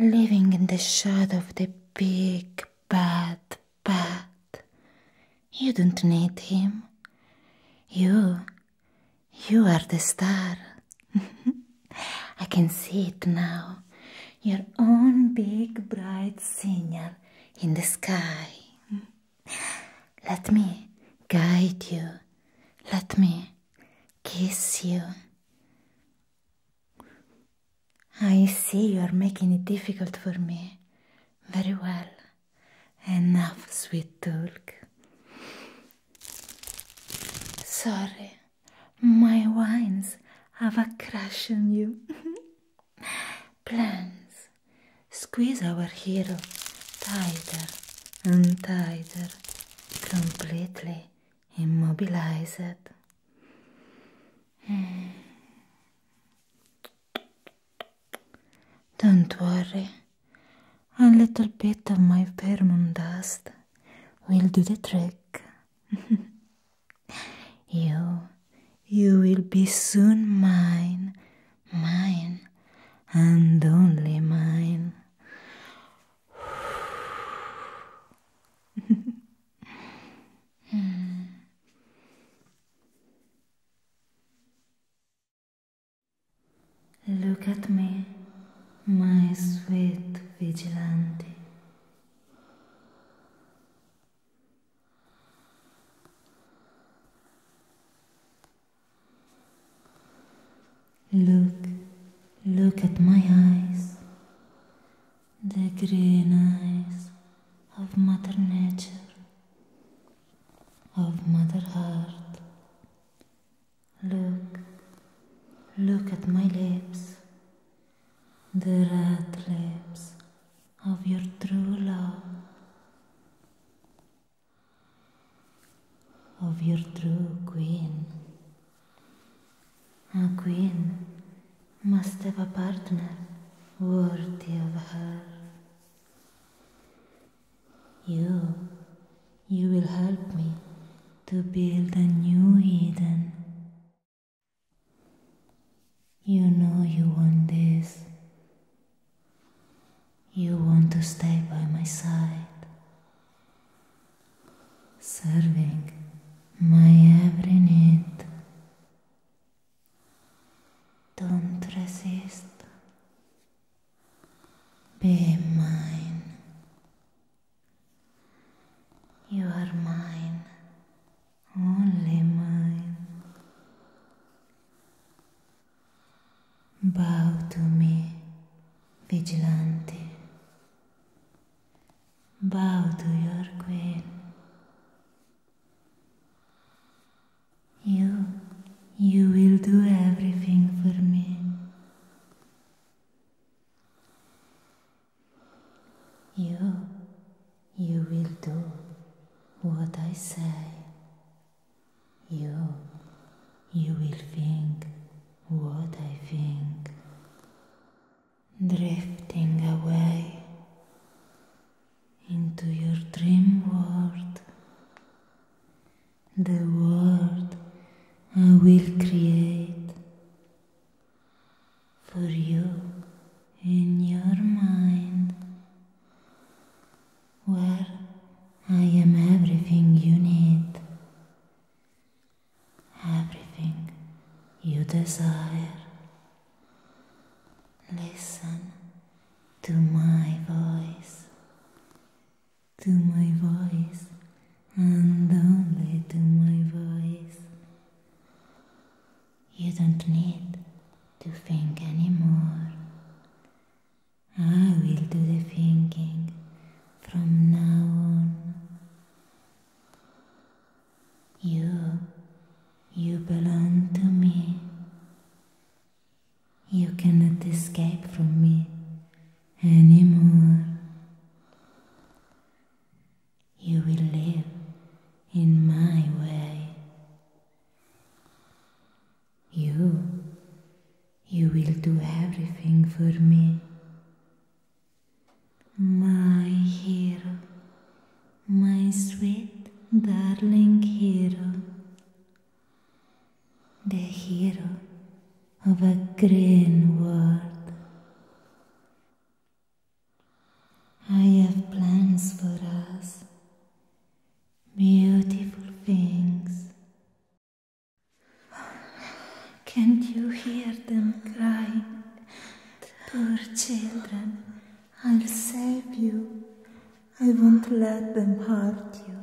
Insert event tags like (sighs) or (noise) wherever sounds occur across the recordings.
Living in the shadow of the big bad bat, you don't need him. You, you are the star. (laughs) I can see it now. Your own big bright signal in the sky. Mm -hmm. Let me guide you. Let me kiss you. I see you are making it difficult for me. Very well. Enough, sweet Tulk. Sorry, my wines have a crush on you. (laughs) plans. Squeeze our hero tighter and tighter, completely immobilized. (sighs) Don't worry, a little bit of my pheromone dust will do the trick. (laughs) you you will be soon mine, mine, and only mine. (laughs) Look at me, my sweet vigilante. Look, look at my eyes, the green eyes of Mother Nature, of Mother Heart. Look, look at my lips, the red lips of your true love, of your true queen. A queen must have a partner worthy of her. You, you will help me to build a new Eden. You know you want this. You want to stay by my side, serving my every need. Don't resist. Be mine. You are mine only mine. Bow to me, vigilante. Bow to your queen. You, you will do everything for me. You, You will do what I say. You, you will think what I think. Drifting away into your dream world. The world I will create for you in your mind where I am everything you need, everything you desire. Listen to my voice, to my voice, and only to my voice. You don't need to think anymore. I will do the thinking from now on. You, you belong to me. You cannot escape from me anymore. You will live in my way. You, you will do everything for me. My hero, my sweet darling hero, the hero of a green world. I have plans for us, beautiful things. Can't you hear them crying? Poor children, I'll save you. I won't let them hurt you.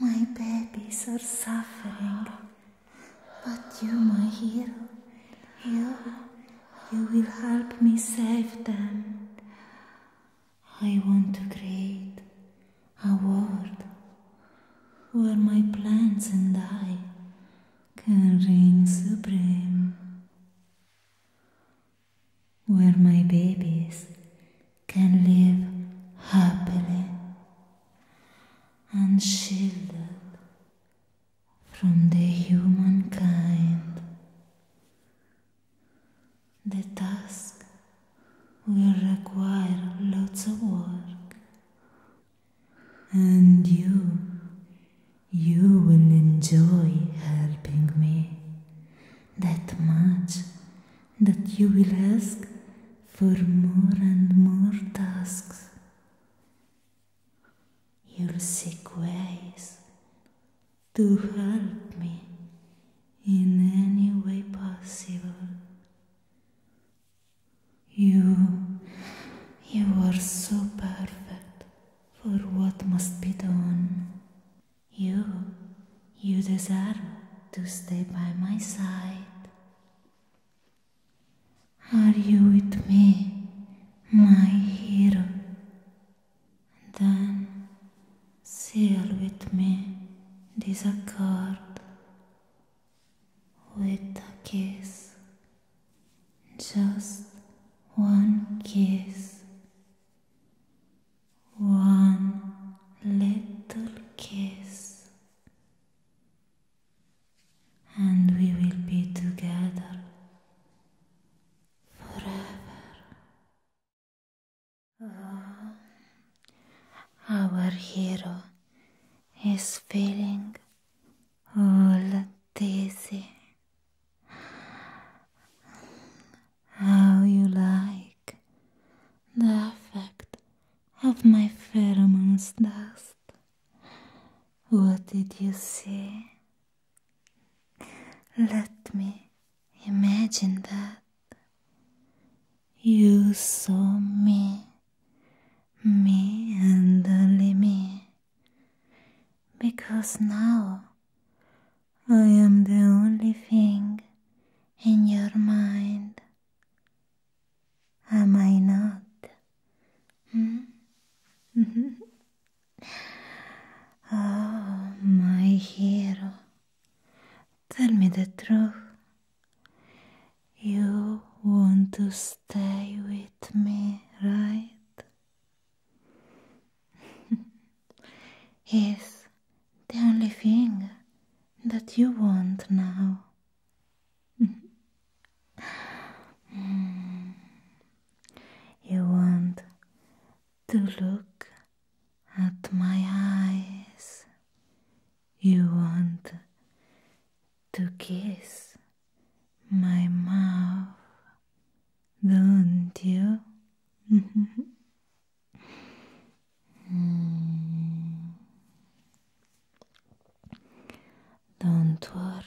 My babies are suffering. But you, my hero, you, You will help me save them. I want to create a world where my plants and I can reign supreme. Where my babies can live happily and shielded from the humankind. The task will require lots of work, and you, you will enjoy helping me that much that you will ask for more and more tasks your sick ways to help me in any way possible. You, you are so perfect for what must be done. You, you deserve to stay by my side. Are you with me my hero, then seal with me this accord with a kiss, just one kiss. One little kiss and we will be together forever. Oh, our hero is feeling all dizzy. How you like the effect of my pheromones dust? What did you see? Let me imagine that you saw me, me and only me, because now I am the only thing in your mind. Am I not? Hmm? (laughs) (laughs) Oh, my hero, tell me the truth. You want to stay with me, right? is (laughs) the only thing that you want now. (laughs) Hmm. You want to look at my eyes. You want to kiss my mouth, don't you? mm. (laughs) Don't worry.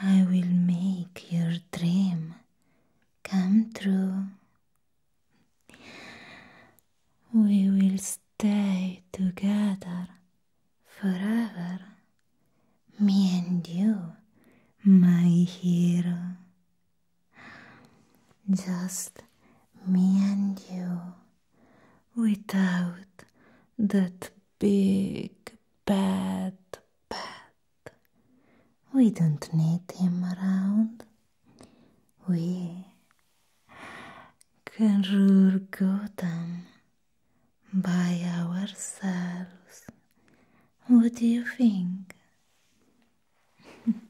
I will make your dream come true. We will stay together forever, me and you, my hero. Just me and you. without that big bad bat, We don't need him around. We can rule Gotham by ourselves. What do you think? (laughs)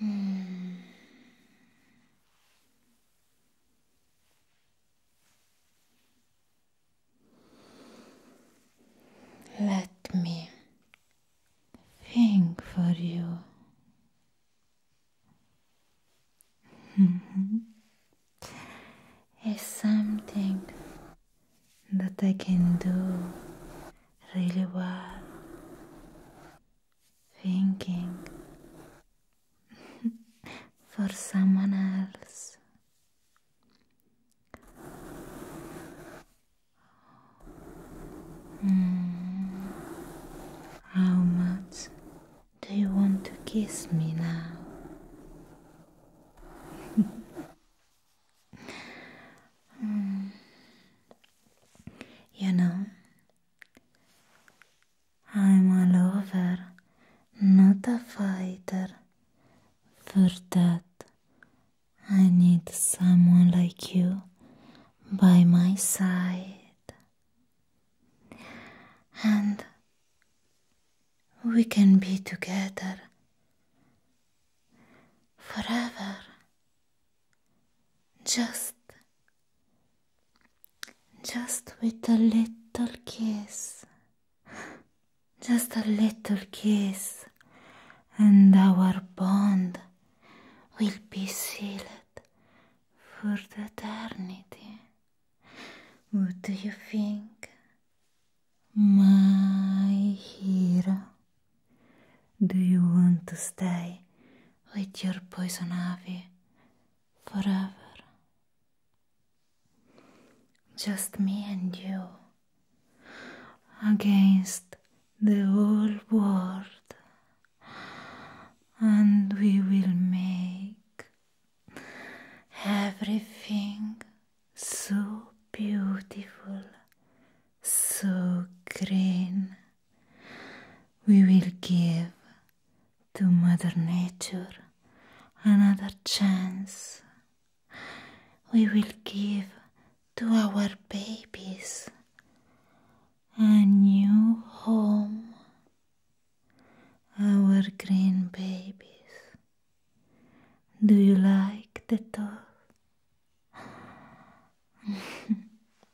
Hmm. Let me think for you. (laughs) Is something that I can do really well thinking (laughs) for someone else. Hmm. How much do you want to kiss me now? (laughs) Hmm. You know, I'm all over, not a fighter. For that, I need someone like you by my side. And we can be together forever. Just just with a little kiss, just a little kiss, and our bond will be sealed for the eternity. What do you think, my hero? Do you want to stay with your poison ivy forever. Just me and you against the whole world, and we will make everything so beautiful, so green. We will give. to Mother Nature another chance. We will give to our babies a new home, our green babies. Do you like the thought? (laughs)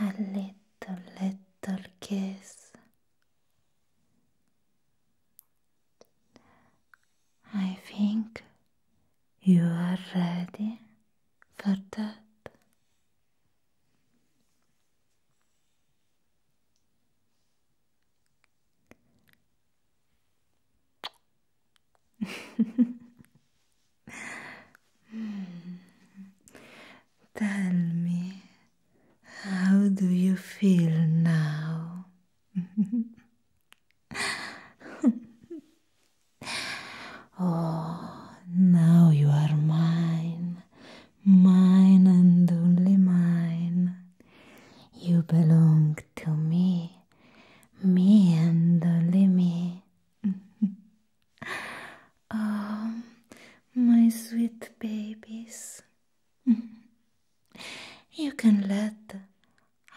a little, little kiss. I think you are ready for that. (laughs) Tell me, how do you feel now? (laughs) oh, now you are mine, mine and only mine. You belong to me, me and only me. oh, (laughs) my sweet babies. (laughs) you can let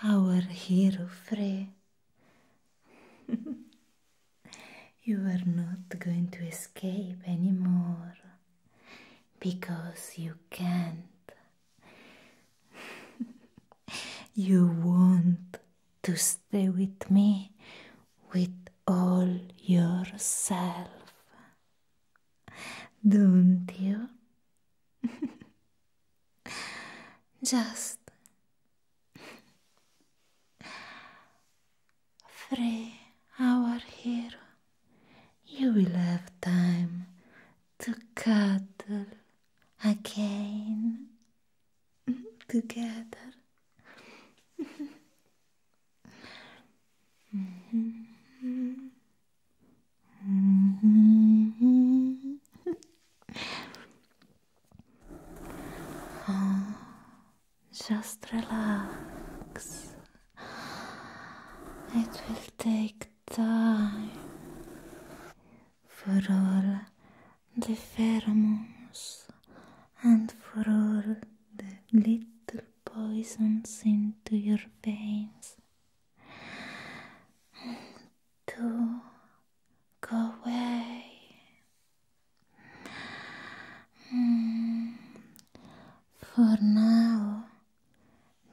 our hero free. (laughs) you are not going to escape anymore because you can't. You want to stay with me with all yourself, don't you? (laughs) Just three our hero. You will have time to cuddle again together. Mm-hmm. Mm-hmm. Mm-hmm. just relax. It will take time for all the pheromones and for all the little poisons into your veins to go away. For now,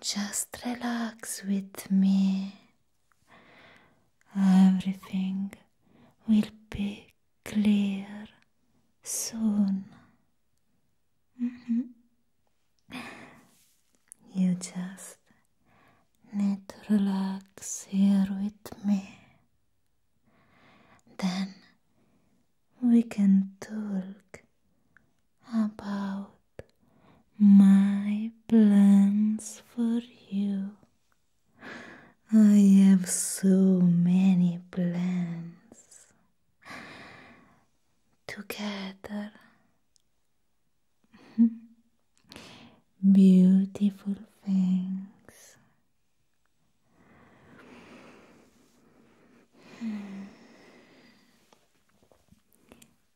just relax with me. Everything will be clear soon. Mm-hmm. You just need to relax here with me. Then we can talk about my plans for you. I have so many plans. Together, (laughs) beautiful things. Hmm.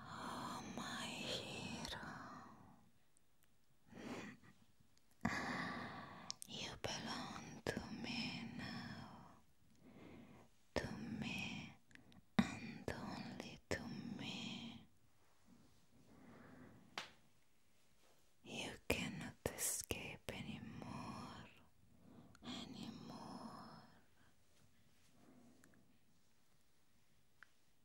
Oh, my hero. (laughs) you belong to me now. To me and only to me. You cannot escape anymore, anymore.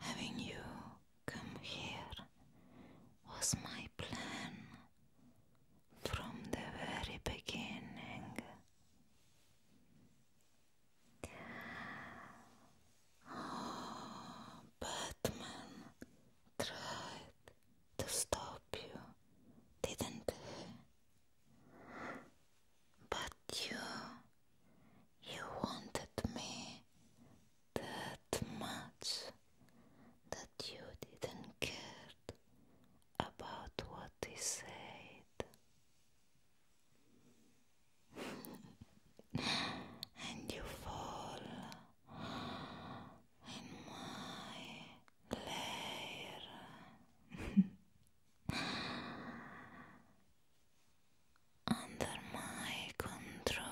Having you come here was my plan from the very beginning. Oh, Batman tried to stop you, didn't he? But you you wanted me that much that you didn't care about what he said. (laughs) and you fall in my lair. (laughs) under my control.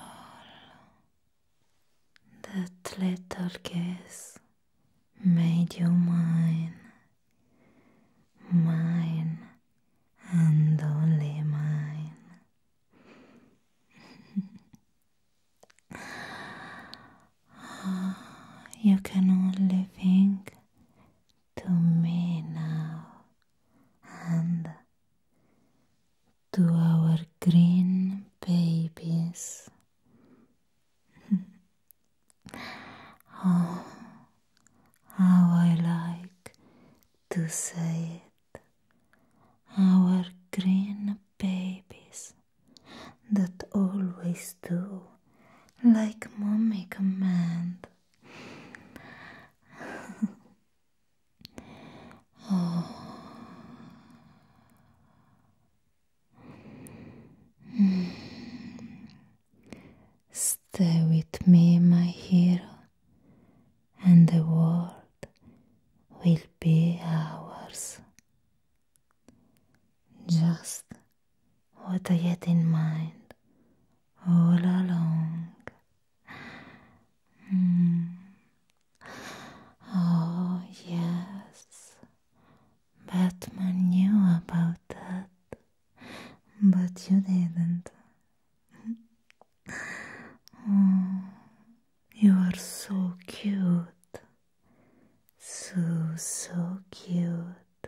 That little kiss made you mine, mine and only mine. (laughs) Ah, you can only think to me now and to our green babies. (laughs) oh, how I like to say it. Our green babies that always do like mommy commands. Stay with me, my hero, and the world will be ours. Just what I had in mind all along. Hmm. Oh, yes. Batman knew about that, but you didn't. Hmm. you are so cute. So, so cute.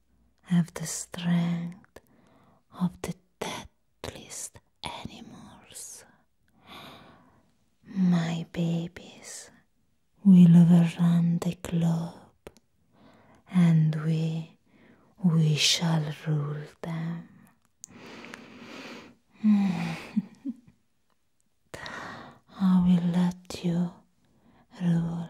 have the strength of the deadliest animals. My babies will overrun the globe, and we we shall rule them. (laughs) I will let you rule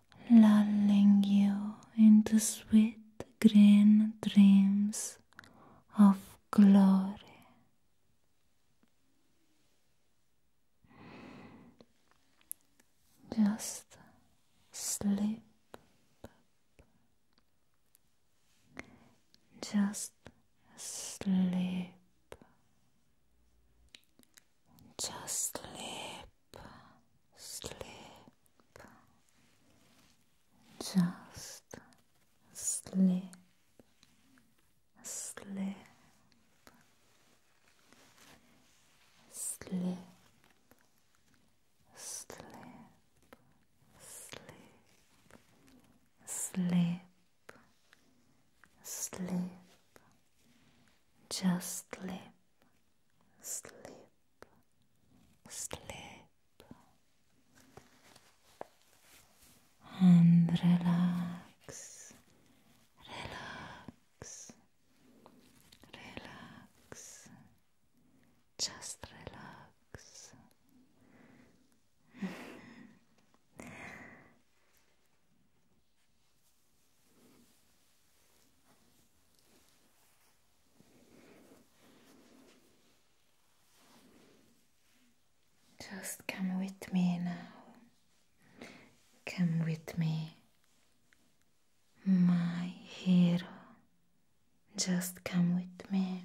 lulling you into sweet green dreams of glory. Just sleep. Just sleep. Just sleep sleep, just sleep, sleep, sleep, sleep, sleep, sleep, sleep, just sleep, sleep. Sleep and relax, relax, relax, just relax. (laughs) Just come with me now. Come with me, my hero. Just come with me.